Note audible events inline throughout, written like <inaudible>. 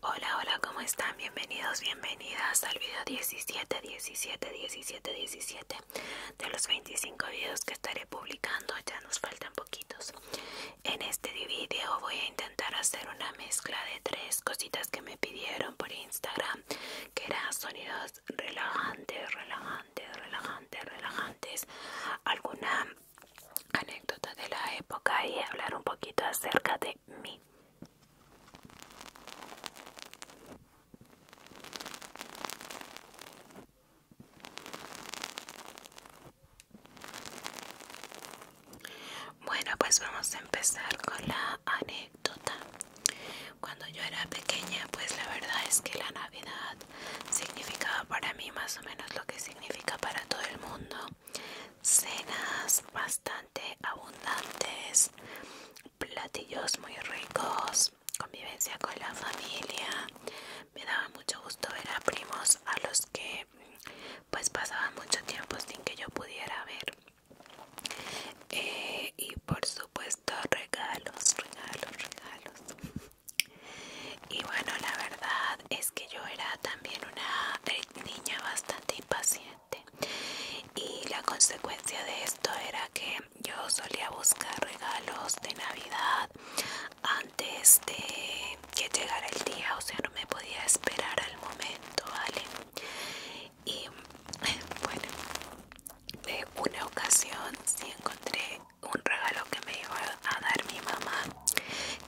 Hola, hola, ¿cómo están? Bienvenidos, bienvenidas al video 17, 17, 17, 17 de los 25 videos que estaré publicando, ya nos faltan poquitos. En este video voy a intentar hacer una mezcla de tres cositas que me pidieron por Instagram, que eran sonidos relajantes, relajantes, relajantes, relajantes, alguna anécdota de la época y hablar un poquito acerca de mi Bueno, pues vamos a empezar con la anécdota. Cuando yo era pequeña, pues la verdad es que la Navidad significaba para mí más o menos lo que significa para todo el mundo cenas bastante abundantes, platillos muy ricos, convivencia con la familia. Me daba mucho gusto ver a primos a los que pues pasaba mucho tiempo sin que yo pudiera ver. Eh, y por supuesto regalos, regalos, regalos. <laughs> Y bueno, la verdad es que yo era también una niña bastante impaciente y la consecuencia de esto era que yo solía buscar regalos de Navidad antes de que llegara el día, o sea, no me podía esperar al momento, ¿vale? Y <laughs> bueno, de una ocasión sí encontré un regalo que me iba a dar mi mamá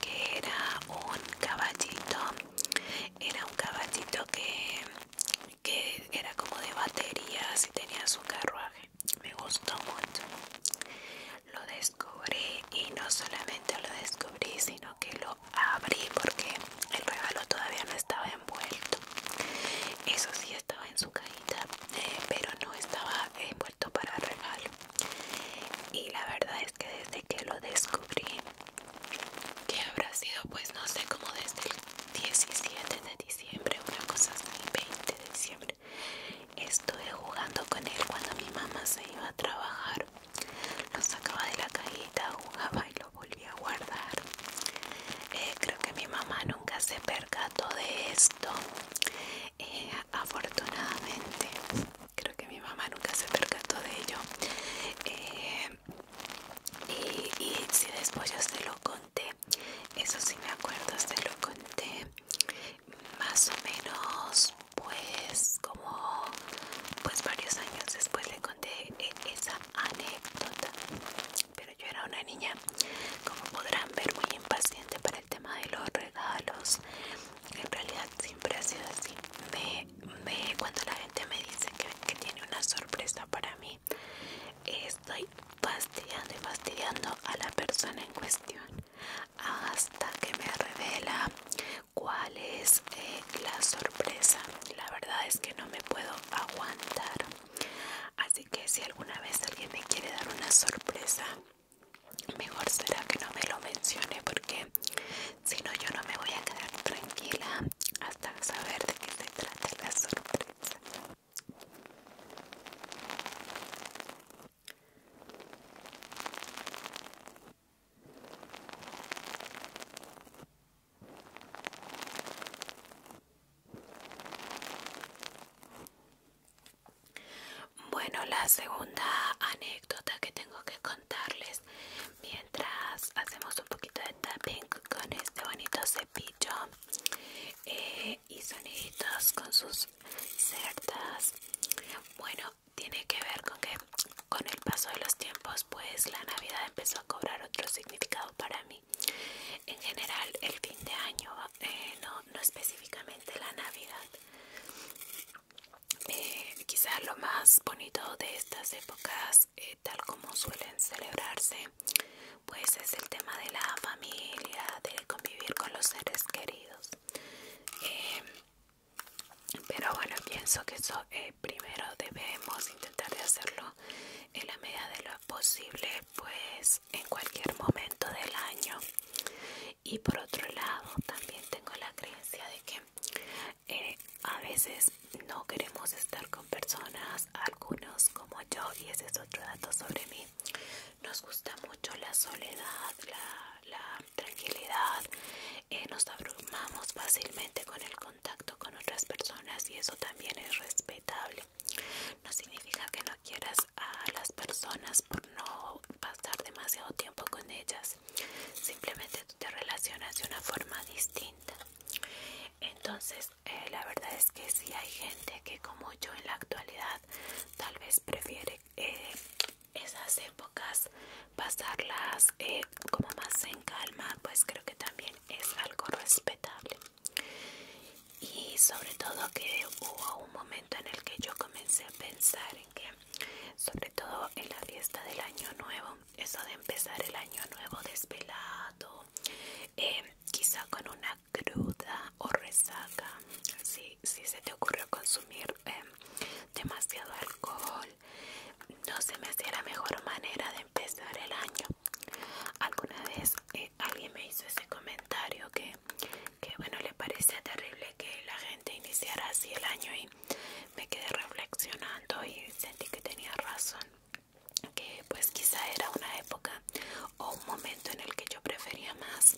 que era un caballito era un caballito que, era como de baterías y tenía su carruaje me gustó mucho lo descubrí y no solamente lo descubrí sino que lo abrí porque el regalo todavía no estaba envuelto eso sí estaba en su cajita eh, pero no estaba envuelto para regalo y la verdad es que desde que lo descubrí que habrá sido pues no sé como desde el 17 de diciembre una cosa así 20 de diciembre estuve jugando con él cuando mi mamá se iba a trabajar lo sacaba de la cajita jugaba y lo volvía a guardar eh, creo que mi mamá nunca se percató de esto eh, afortunadamente creo que mi mamá nunca se percató de ello eh, y, si después yo se lo conté eso sí me acuerdo se lo conté más o menos pues como pues varios años después le conté e, esa anécdota pero yo era una niña como podrán ver muy impaciente para el tema de los regalos en realidad siempre ha sido así. cuando la gente me dice que, tiene una sorpresa para mí, estoy fastidiando y fastidiando a la persona en cuestión hasta que me revela cuál es eh, la sorpresa. La verdad es que no me puedo aguantar. Así que si alguna vez alguien me quiere dar una sorpresa, mejor será que no me lo mencione porque si no yo no me voy a quedar tranquila hasta saber de qué se trata la sorpresa bueno, la segunda anécdota que tengo que contarles mientras hacemos un poquito de tapping con este bonito cepillo eh, y soniditos con sus cerdas. Bueno, tiene que ver con que con el paso de los tiempos, pues la Navidad empezó a cobrar otro significado para mí. En general, el fin de año, eh, no, no específicamente la Navidad. Eh, quizás lo más bonito de estas épocas eh, tal como suelen celebrarse pues es el tema de la familia de convivir con los seres queridos eh, pero bueno pienso que eso primero debemos intentar de hacerlo en la medida de lo posible pues en cualquier momento del año y por otro lado también tengo la creencia de que eh, a veces no queremos estar con personas algunos como yo y ese es otro dato sobre mí nos gusta mucho la soledad la, tranquilidad eh, nos abrumamos fácilmente con el contacto con otras personas y eso también es respetable no significa que no quieras a las personas por no pasar demasiado tiempo con ellas simplemente te relacionas de una forma distinta entonces eh, la verdad es que si hay gente que como yo en la actualidad tal vez prefiere eh, esas épocas pasarlas eh, como más en calma pues creo que también es algo respetable y sobre todo que hubo momento en el que yo comencé a pensar en que, sobre todo en la fiesta del año nuevo, eso de empezar el año nuevo despelado, em, quizá con una cruda o resaca, si, se te ocurrió consumir em, demasiado alcohol, no se me hacía la mejor manera de empezar el año. Alguna vez eh, alguien me hizo ese comentario que que bueno le parecía terrible que la gente iniciara así el año y me quedé reflexionando y sentí que tenía razón que pues quizá era una época o un momento en el que yo prefería más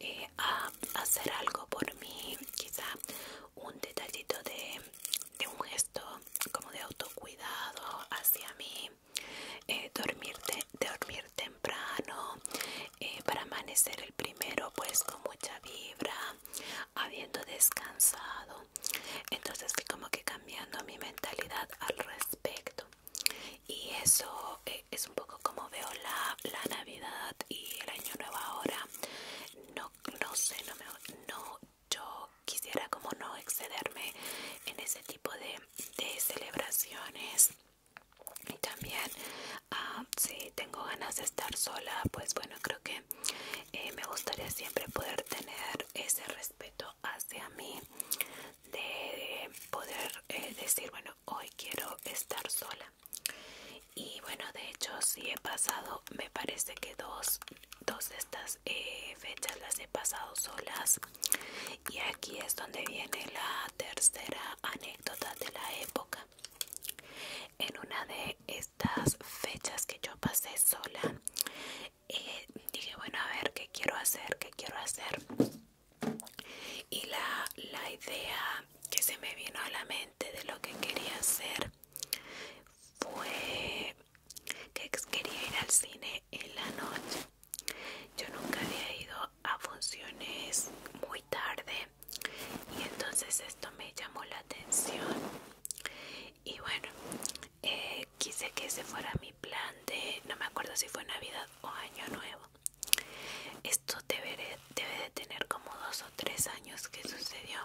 eh, a hacer algo por mí quizá un detallito de, un gesto como de autocuidado hacia mí eh, dormirte dormir temprano eh, para amanecer el primero pues con mucha vibra habiendo descansado entonces fui como que cambiando mi mentalidad al respecto y eso eh, es un poco como veo la, la navidad y el año nuevo ahora no, no sé no no yo quisiera como no excederme en ese tipo de celebraciones y también ah, si tengo ganas de estar sola pues bueno creo que eh, me gustaría siempre poder tener ese respeto hacia mí de poder eh, decir bueno hoy quiero estar sola y bueno de hecho si he pasado me parece que dos dos de estas eh, fechas las he pasado solas y aquí es donde viene la tercera anécdota de la época. En una de estas fechas que yo pasé sola, eh, dije, bueno, a ver, ¿qué quiero hacer? ¿Qué quiero hacer? Y la idea que se me vino a la mente de lo que quería hacer fue que quería ir al cine en la noche yo nunca había ido a funciones muy tarde y entonces esto me llamó la atención y bueno eh, quise que ese fuera mi plan de no me acuerdo si fue navidad o año nuevo esto debe, de tener como dos o tres años que sucedió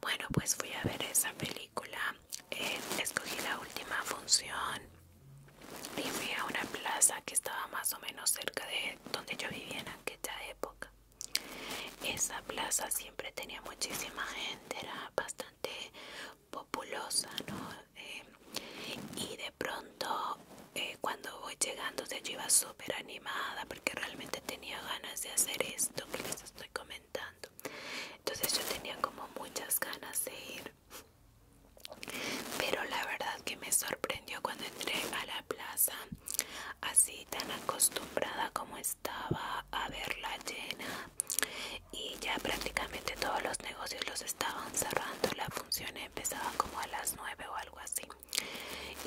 bueno pues fui a ver esa película eh, escogí la última función y a una plaza que estaba más o menos cerca de donde yo vivía en aquella época. Esa plaza siempre tenía muchísima gente, era bastante populosa, ¿no? Eh, y de pronto, eh, cuando voy llegando, yo iba súper animada porque realmente tenía ganas de hacer esto que les estoy comentando. Entonces yo tenía como muchas ganas de ir pero la verdad que me sorprendió cuando entré a la plaza, así tan acostumbrada como estaba a verla llena. Y ya prácticamente todos los negocios los estaban cerrando, la función empezaba como a las 9 o algo así.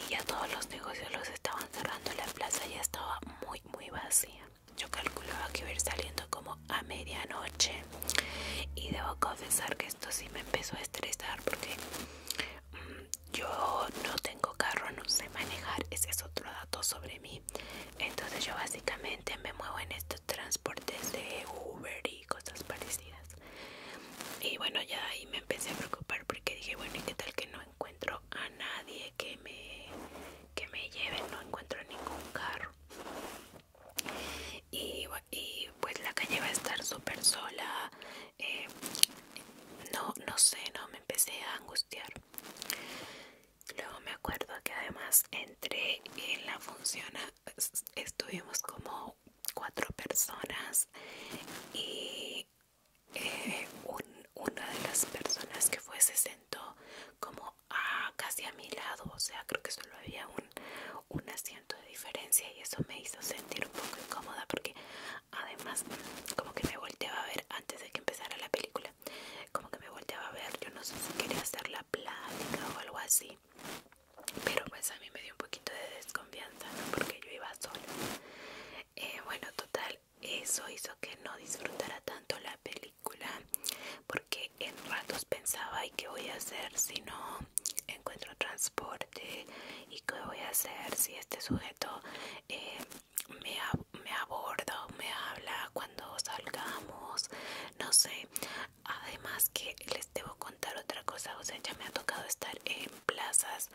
Y ya todos los negocios los estaban cerrando, la plaza ya estaba muy muy vacía. Yo calculaba que iba a ir saliendo como a medianoche y debo confesar que esto sí me empezó a estresar porque mm, yo no tengo carro, no sé manejar, ese es otro dato sobre mí. Entonces yo básicamente me muevo en estos transportes de Uber y cosas parecidas. Y bueno, ya ahí me empecé a preocupar porque dije, bueno, ¿y qué tal que no encuentro a nadie que me, que me lleve? No encuentro ningún carro y, pues la calle va a estar súper sola eh, no no sé no me empecé a angustiar luego me acuerdo que además entré en la función estuvimos como cuatro personas y eh, una de las personas que fue se sentó como casi a mi lado, o sea, creo que solo había un, asiento de diferencia y eso me hizo sentir un poco incómoda porque además como que me volteaba a ver antes de que empezara la película, como que me volteaba a ver, yo no sé si quería hacer la plática o algo así, pero pues a mí me dio un poquito de desconfianza, Porque yo iba sola. Eh, bueno, total, eso hizo que no disfrutara tanto la película porque en ratos pensaba ¿y qué voy a hacer si no encuentro transporte? ¿y qué voy a hacer si este sujeto eh, me, me aborda me habla cuando salgamos? no sé además que les debo contar otra cosa o sea ya me ha tocado estar en plazas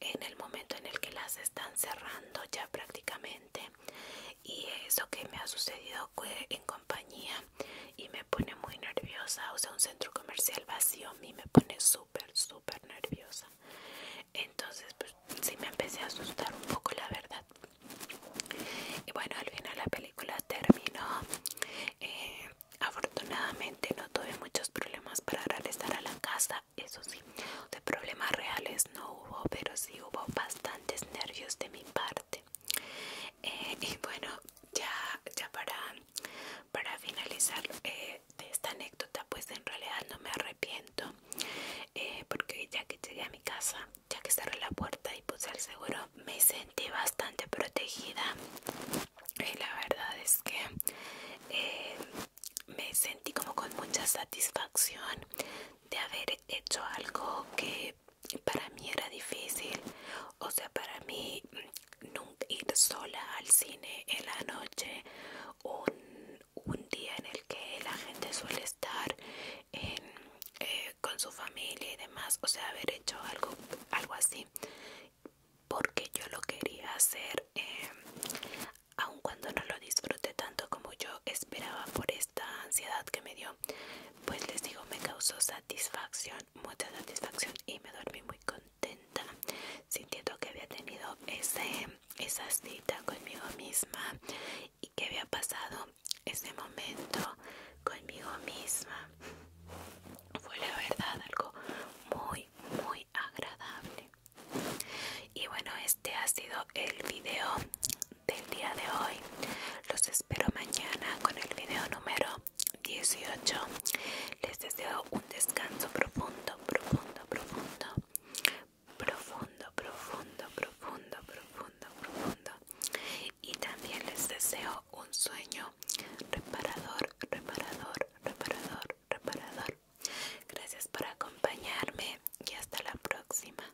en el momento en el que las están cerrando ya prácticamente y eso que me ha sucedido fue en compañía y me pone muy nerviosa, o sea, un centro comercial vacío a mí me pone súper, súper nerviosa. Entonces, pues sí me empecé a asustar un poco, la verdad. Y bueno, al final la película terminó. Eh, afortunadamente no tuve muchos problemas para regresar a la casa, eso sí, de problemas reales no hubo, pero sí hubo bastantes nervios de mi parte. Eh, y bueno ya ya para para finalizar eh, esta anécdota pues en realidad no me arrepiento eh, porque ya que llegué a mi casa ya que cerré la puerta y puse el seguro me sentí bastante protegida y la verdad es que me sentí como con mucha satisfacción de haber hecho algo que para mí era difícil, o sea, para mí mm, nunca ir sola al cine en la noche, un, día en el que la gente suele estar eh, con su familia y demás, o sea, haber hecho algo, algo así, porque yo lo quería hacer, em, aun cuando no lo disfruté tanto como yo esperaba por esta ansiedad que me dio pues les digo me causó satisfacción mucha satisfacción y me dormí muy contenta sintiendo que había tenido ese, esa cita conmigo misma y que había pasado ese momento conmigo misma fue la verdad algo muy muy agradable y bueno este ha sido el video del día de hoy. Los espero mañana con el video número 18. Les deseo un descanso profundo, profundo, profundo. Profundo, profundo, profundo, profundo, profundo. Y también les deseo un sueño reparador, reparador, reparador, reparador. Gracias por acompañarme y hasta la próxima.